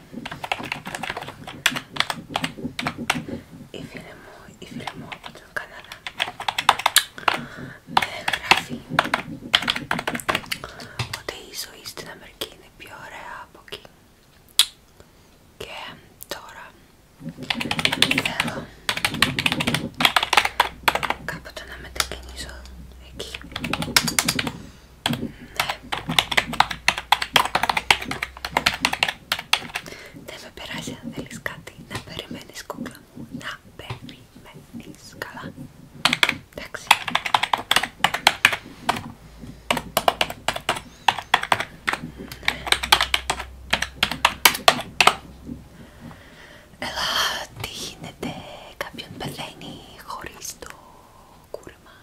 Η φίλη μου, η από τον Καναδά με γράφει ότι η ζωή στην Αμερική είναι πιο ωραία από εκεί και τώρα θέλω κάποτε να μετακινήσω εκεί δεν με περάσει αν θέλεις κάτι να περιμένεις κούκλα μου, να περιμένεις καλά. Εντάξει. Ελά, τι γίνεται, κάποιον πεθαίνει χωρίς το κούρεμα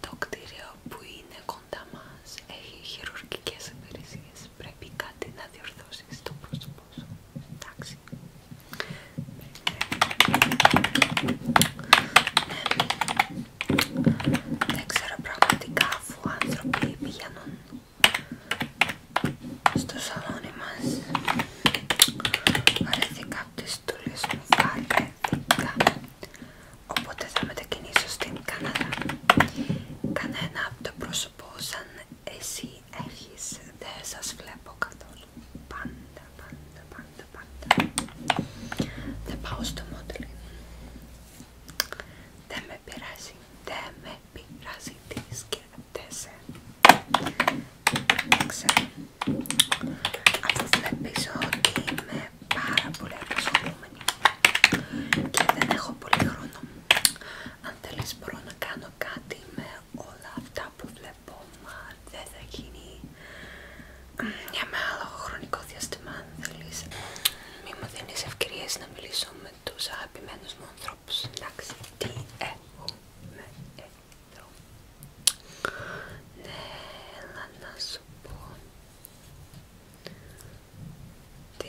το κτίριο που είναι κοντά μας έχει χειρουργικές υπηρεσίες. Πρέπει κάτι να διορθώσει στο πρόσωπό σου. Εντάξει. Δεν ξέρω πραγματικά αφού άνθρωποι πηγαίνουν στο σαλόνι μας. Βαρέθηκα από τις Οπότε θα μετακινήσω στην Καναδά. Κανένα από το πρόσωπο σαν εσύ έχεις δεν σας βλέπω καθόλου. Πάντα, πάντα, πάντα, πάντα. Θα πάω στο μόντελι. Δεν με πειράζει, δεν με πειράζει τι σκέφτεσαι. Ξέρω. Αφού βλέπεις ότι είμαι πάρα πολύ απασχολούμενη και δεν έχω πολύ χρόνο. Αν θέλεις μπορώ να κάνω κάτι με όλα αυτά που βλέπω, μα δεν θα γίνει για μεγάλο χρονικό διάστημα. Αν θέλεις, μη μου δίνεις ευκαιρίες να μιλήσω με τους αγαπημένους μου ανθρώπους, εντάξει, τι έχω με εδώ. Ναι, να σου πω. Τι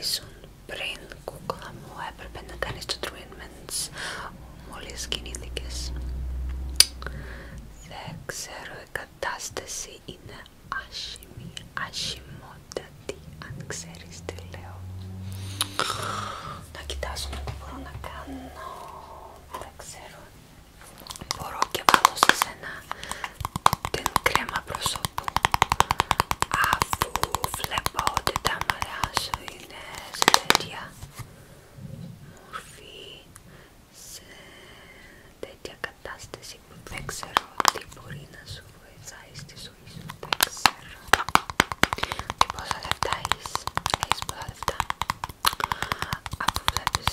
ήσουν πριν κούκλα μου έπρεπε να κάνεις το treatments μόλις κινήθηκες. Δεν ξέρω, η κατάσταση είναι άσχημη, άσχημότατη, αν ξέρεις τι λέω. Να κοιτάζω τι μπορώ να κάνω, δεν ξέρω μπορώ και βάλω σε σένα την κρέμα προσώπου αφού βλέπω ότι τα μαλλιά σου είναι σε τέτοια μορφή σε τέτοια κατάσταση που δεν ξέρω τι μπορεί να σου βοηθάει στη ζωή σου δεν ξέρω και πόσα λεφτά έχεις έχεις πολλά λεφτά αφού βλέπεις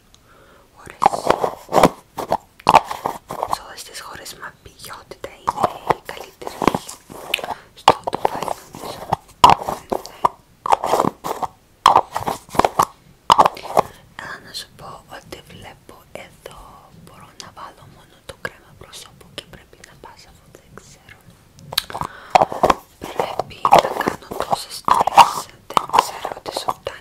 χώρες. Σε όλες τις χώρες μα είναι η καλύτερη στο Ντουμπάι νομίζω. Αλλά να σου πω ότι βλέπω εδώ μπορώ να βάλω μόνο το κρέμα προσώπου και πρέπει να πας αυτό δεν ξέρω. Πρέπει να κάνω τόσες τόλες, δεν ξέρω τι σου φτάνει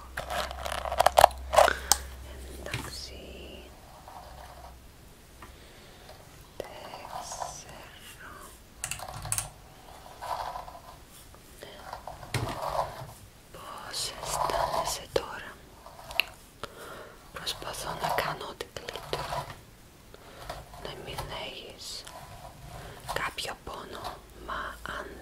Εντάξει. Πώ Πώς αισθάνεσαι τώρα. Προσπαθώ να κάνω ό,τι καλύτερο. Να μην έχεις κάποιο πόνο, μα αν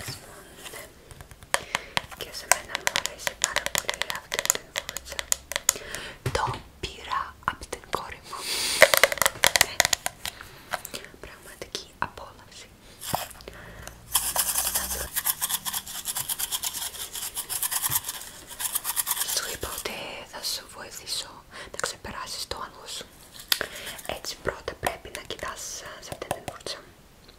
Πες μου, ναι. Και σε μένα μου αρέσει πάρα πολύ αυτή την φούτσα. Το πήρα από την κόρη μου. Ναι. Πραγματική απόλαυση. Σου είπα ότι θα σου βοηθήσω να ξεπεράσεις το άγχος σου. Έτσι πρώτα πρέπει να κοιτάς σε αυτή την φούρτσα.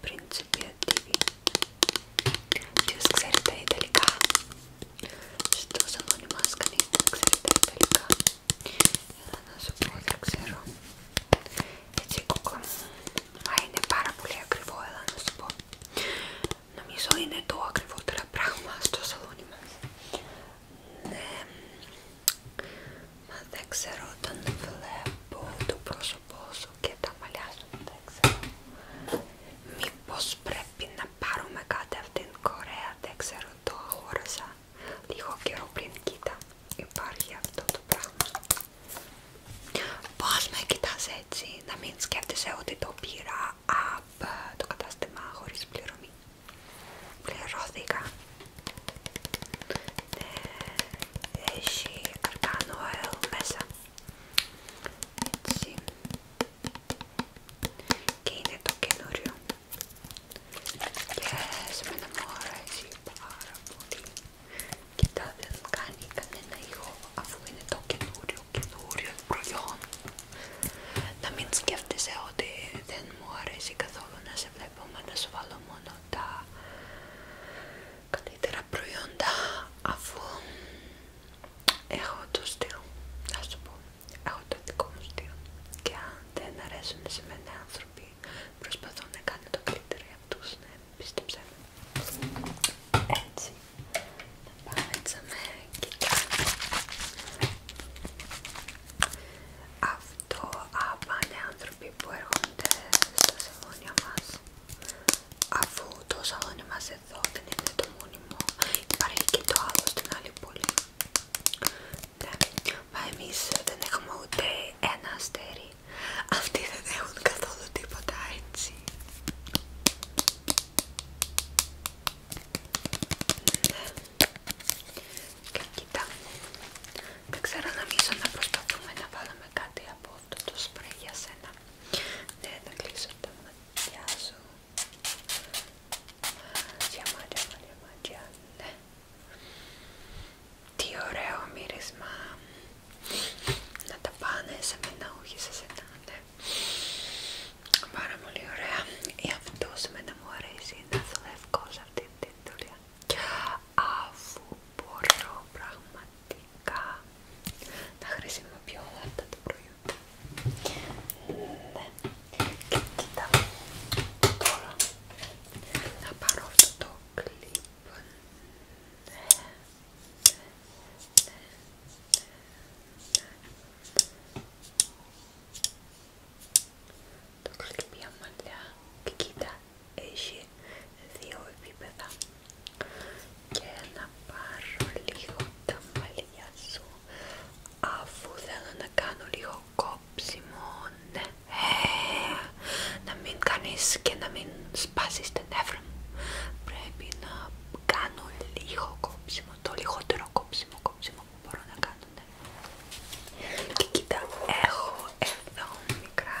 principi attivi. Ποιος ξέρει τα ιταλικά. σαλόνι μας κανείς δεν ξέρει τα ιταλικά. έλα να σου πω δεν ξέρω. Έτσι κούκο. Μα είναι πάρα πολύ ακριβό, έλα να σου πω. Νομίζω είναι το ακριβότερο πράγμα στο σαλόνι μας. Ναι. Μα δεν ξέρω όταν βλέπω το πρόσωπό σου και τα μαλλιά σου δεν ξέρω. Μήπως πρέπει να πάρουμε κάτι από την Κορέα, δεν ξέρω, το αγόρασα λίγο καιρό πριν, κοίτα, υπάρχει αυτό το πράγμα. Πώς με κοιτάς έτσι, να μην σκέφτεσαι ότι το πήρα από το κατάστημα χωρίς πληρωμή. Πληρώθηκα. Ναι, έχει αρκάνο μέσα έτσι και είναι το καινούριο και σε μένα μου αρέσει πάρα πολύ κοιτά δεν κάνει κανένα ήχο αφού είναι το καινούριο καινούριο προϊόν να μην σκέφτεσαι ότι δεν μου αρέσει καθόλου να σε βλέπω μα να σου βάλω μόνο τα καλύτερα προϊόντα αφού έχω το στυλ, να σου πω, έχω το δικό μου στυλ και αν δεν αρέσουν σε μένα άνθρωποι προσπαθώ να κάνω το καλύτερο για αυτούς, ναι, πίστεψέ με. Έτσι, να πάμε έτσι και κάνω. Αυτό απάνε άνθρωποι που έρχονται στα σεμόνια μας αφού το χρόνια είμαστε εδώ δεν είναι το μόνιμο υπάρχει και το άλλο στην άλλη πόλη ναι, μα εμείς δεν έχουμε ούτε ένα αστέρι αυτοί δεν έχουν καθόλου τίποτα έτσι ναι και κοίτα δεν ξέρω νομίζω να προσπαθούμε να βάλουμε κάτι από έχω αυτό το σπρέι για σένα. Ναι, θα κλείσω τα μάτια σου. Μάτια, μάτια, μάτια, μάτια, ναι. Τι ωραίο μύρισμα. Να τα πάνε σε μένα, όχι σε σένα, ναι. Πάρα πολύ ωραία. Ή αυτός εμένα μου αρέσει να δουλεύω σε αυτή την δουλειά αφού μπορώ πραγματικά να χρησιμοποιώ όλα αυτά τα προϊόντα. Ναι. Και κοίτα, τώρα να πάρω αυτό το κλιπ. Ναι. Ναι. Το κλειπ για μαλλιά και κοίτα, έχει δύο επίπεδα και να πάρω λίγο τα μαλλιά σου αφού θέλω να κάνω λίγο κόψιμο ναι. Ε, να μην κάνεις και να μην σπάσεις τα νεύρα μου πρέπει να κάνω λίγο κόψιμο το λιγότερο κόψιμο κόψιμο που μπορώ να κάνω ναι. και κοίτα έχω εδώ μικρά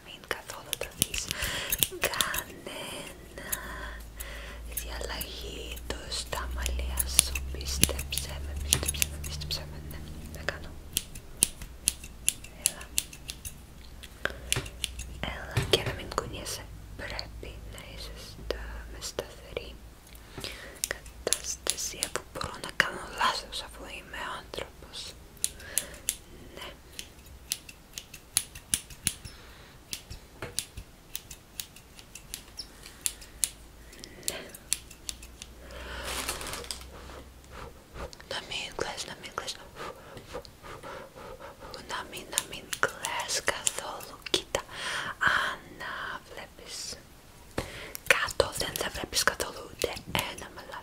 να μην καθόλου τα δεις κανένα διαλλαγή του στα μαλλιά σου πίστεψε με, πίστεψε με, πίστεψε με, ναι, κάνω έλα έλα και να μην κουνιέσαι πρέπει να είσαι με σταθερή κατάσταση που μπορώ να κάνω λάθος αφού είμαι άνθρωπος ναι. Ναι. Να μην κλαις, να μην κλαις. Να μην, να μην κλαις καθόλου. Κοίτα, αν βλέπεις κάτω δεν θα βλέπεις καθόλου ούτε ένα μελα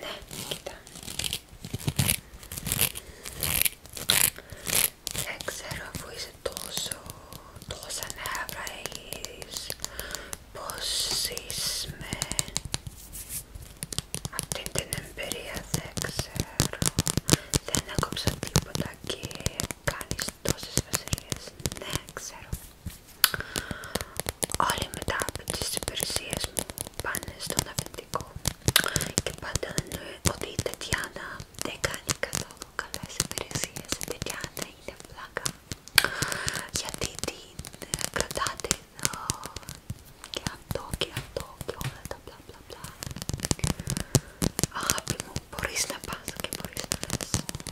Ναι, κοίτα. Δεν ξέρω αφού είσαι τόσο, τόσα νέα βραγείς, πώς ζεις με αυτή την εμπειρία, δεν ξέρω. Δεν έκοψα τίποτα και κάνεις τόσες βασιλείες, δεν ναι, ξέρω. Όλοι μετά από τις υπηρεσίες μου πάνε στον αφεντικό και πάντα εννοεί ότι η Τετιάνα δεν κάνει καθόλου καλές υπηρεσίες, η Τετιάνα είναι πλάκα. Γιατί την ε, κρατάτε ε, και αυτό και αυτό και όλα τα μπλα μπλα μπλα. Αγάπη μου, μπορείς να πας και μπορείς να λες.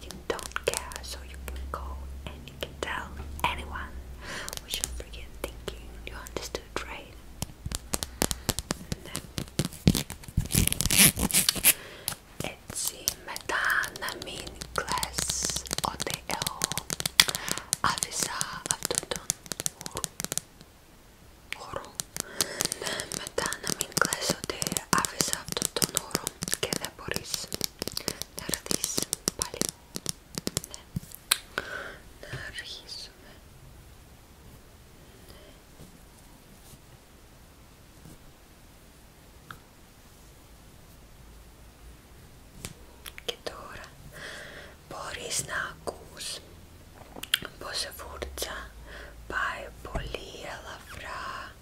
you don't care, so you can go and you can tell anyone what you're thinking. You understood, right? Etsy metanamin glass OTL Avisa Avdodon Oru Metanamin glass OTL Avisa τον όρο και δεν μπορείς να έρθεις πάλι. Ναι. Να αρχίσουμε. Ναι. Και τώρα μπορείς να ακούς πως η φούρτσα πάει πολύ ελαφρά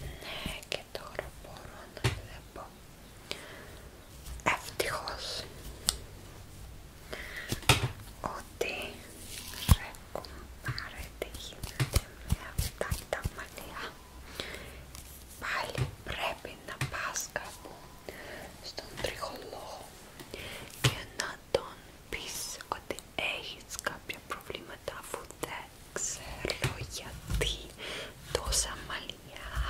Ναι, και τώρα μπορώ να βλέπω. Ευτυχώς ότι ρε κουμπάρε τι γίνεται με αυτά τα μαλλιά. Πάλι πρέπει να πας κάπου στον τριχολόγο και να τον πεις ότι έχεις κάποια προβλήματα αφού δεν ξέρω γιατί τόσα μαλλιά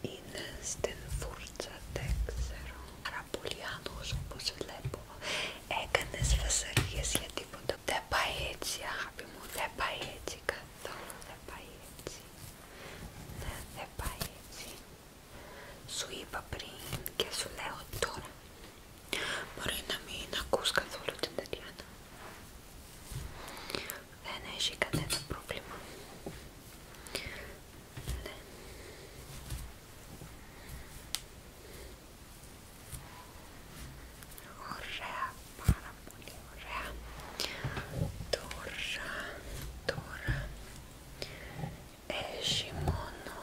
είναι στην φούρτσα, δεν ξέρω. Άρα πολύ άγνωστος όπως βλέπω. Έκανες φασαρίες για τίποτα. Δεν πάει έτσι αγάπη μου, δεν πάει έτσι καθόλου, δεν πάει έτσι. Ναι, δεν πάει έτσι. Σου είπα πριν και σου λέω τώρα. Μπορεί να μην ακούς καθόλου την Τατιάνα. Δεν έχει κανένα πρόβλημα. Ναι. Ωραία, πάρα πολύ ωραία. Τώρα, τώρα έχει μόνο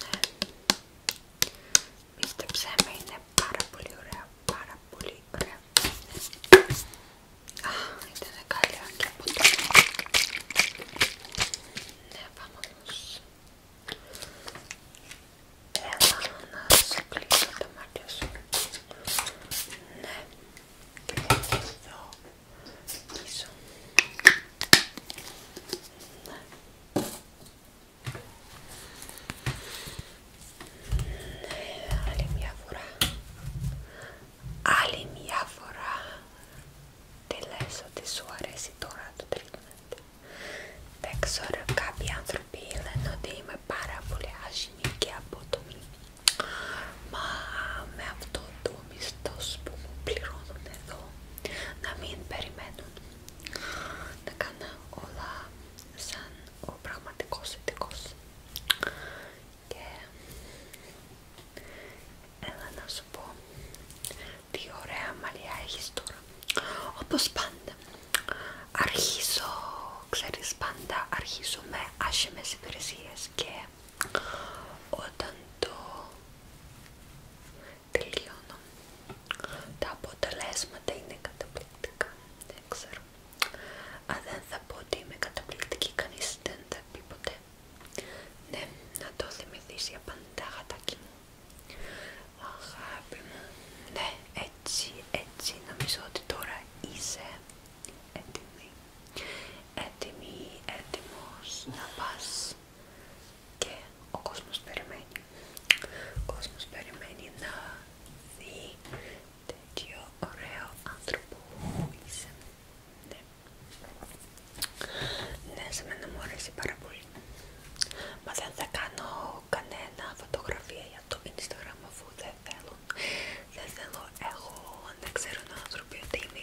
Ναι. Πίστεψέ με, είναι πάρα πολύ ωραία, πάρα πολύ ωραία. Α, ήταν καλή και από το... Ναι, βάμος. Έλα να σου κλείσω τα μάτια σου. Ναι. Και εδώ πίσω. Ναι. άλλη μια φορά. Άλλη μια φορά. Τι λες ότι σου αρέσει τώρα το treatment. Δεν ξέρω, κάποιοι άνθρωποι λένε ότι είμαι πάρα πολύ άσχημη και από το Μα με αυτό το ο μισθός που μου πληρώνουν εδώ να μην περιμένουν να κάνω όλα σαν ο πραγματικός ειδικός και έλα να σου πω τι ωραία μαλλιά έχεις τώρα όπως πάντα αρχίζω, ξέρεις πάντα αρχίζω με άσχημες υπηρεσίες και όταν το τελειώνω τα αποτελέσματα είναι καταπληκτικά δεν ξέρω αν θα πω ότι είμαι καταπληκτική κανείς δεν θα πει ποτέ ναι, να το θυμηθείς για πάντα γατάκι μου αγάπη μου ναι, έτσι, έτσι νομίζω ότι τώρα είσαι έτοιμοι έτοιμοι, έτοιμος να πας και ο κόσμος περιμένει, ο κόσμος περιμένει να δει τέτοιο ωραίο άνθρωπο που είσαι. Ναι. ναι. σε μένα μου αρέσει πάρα πολύ. Μα δεν θα κάνω κανένα φωτογραφία για το Instagram αφού δεν θέλω. Δεν θέλω εγώ να ξέρουν άνθρωποι ότι είμαι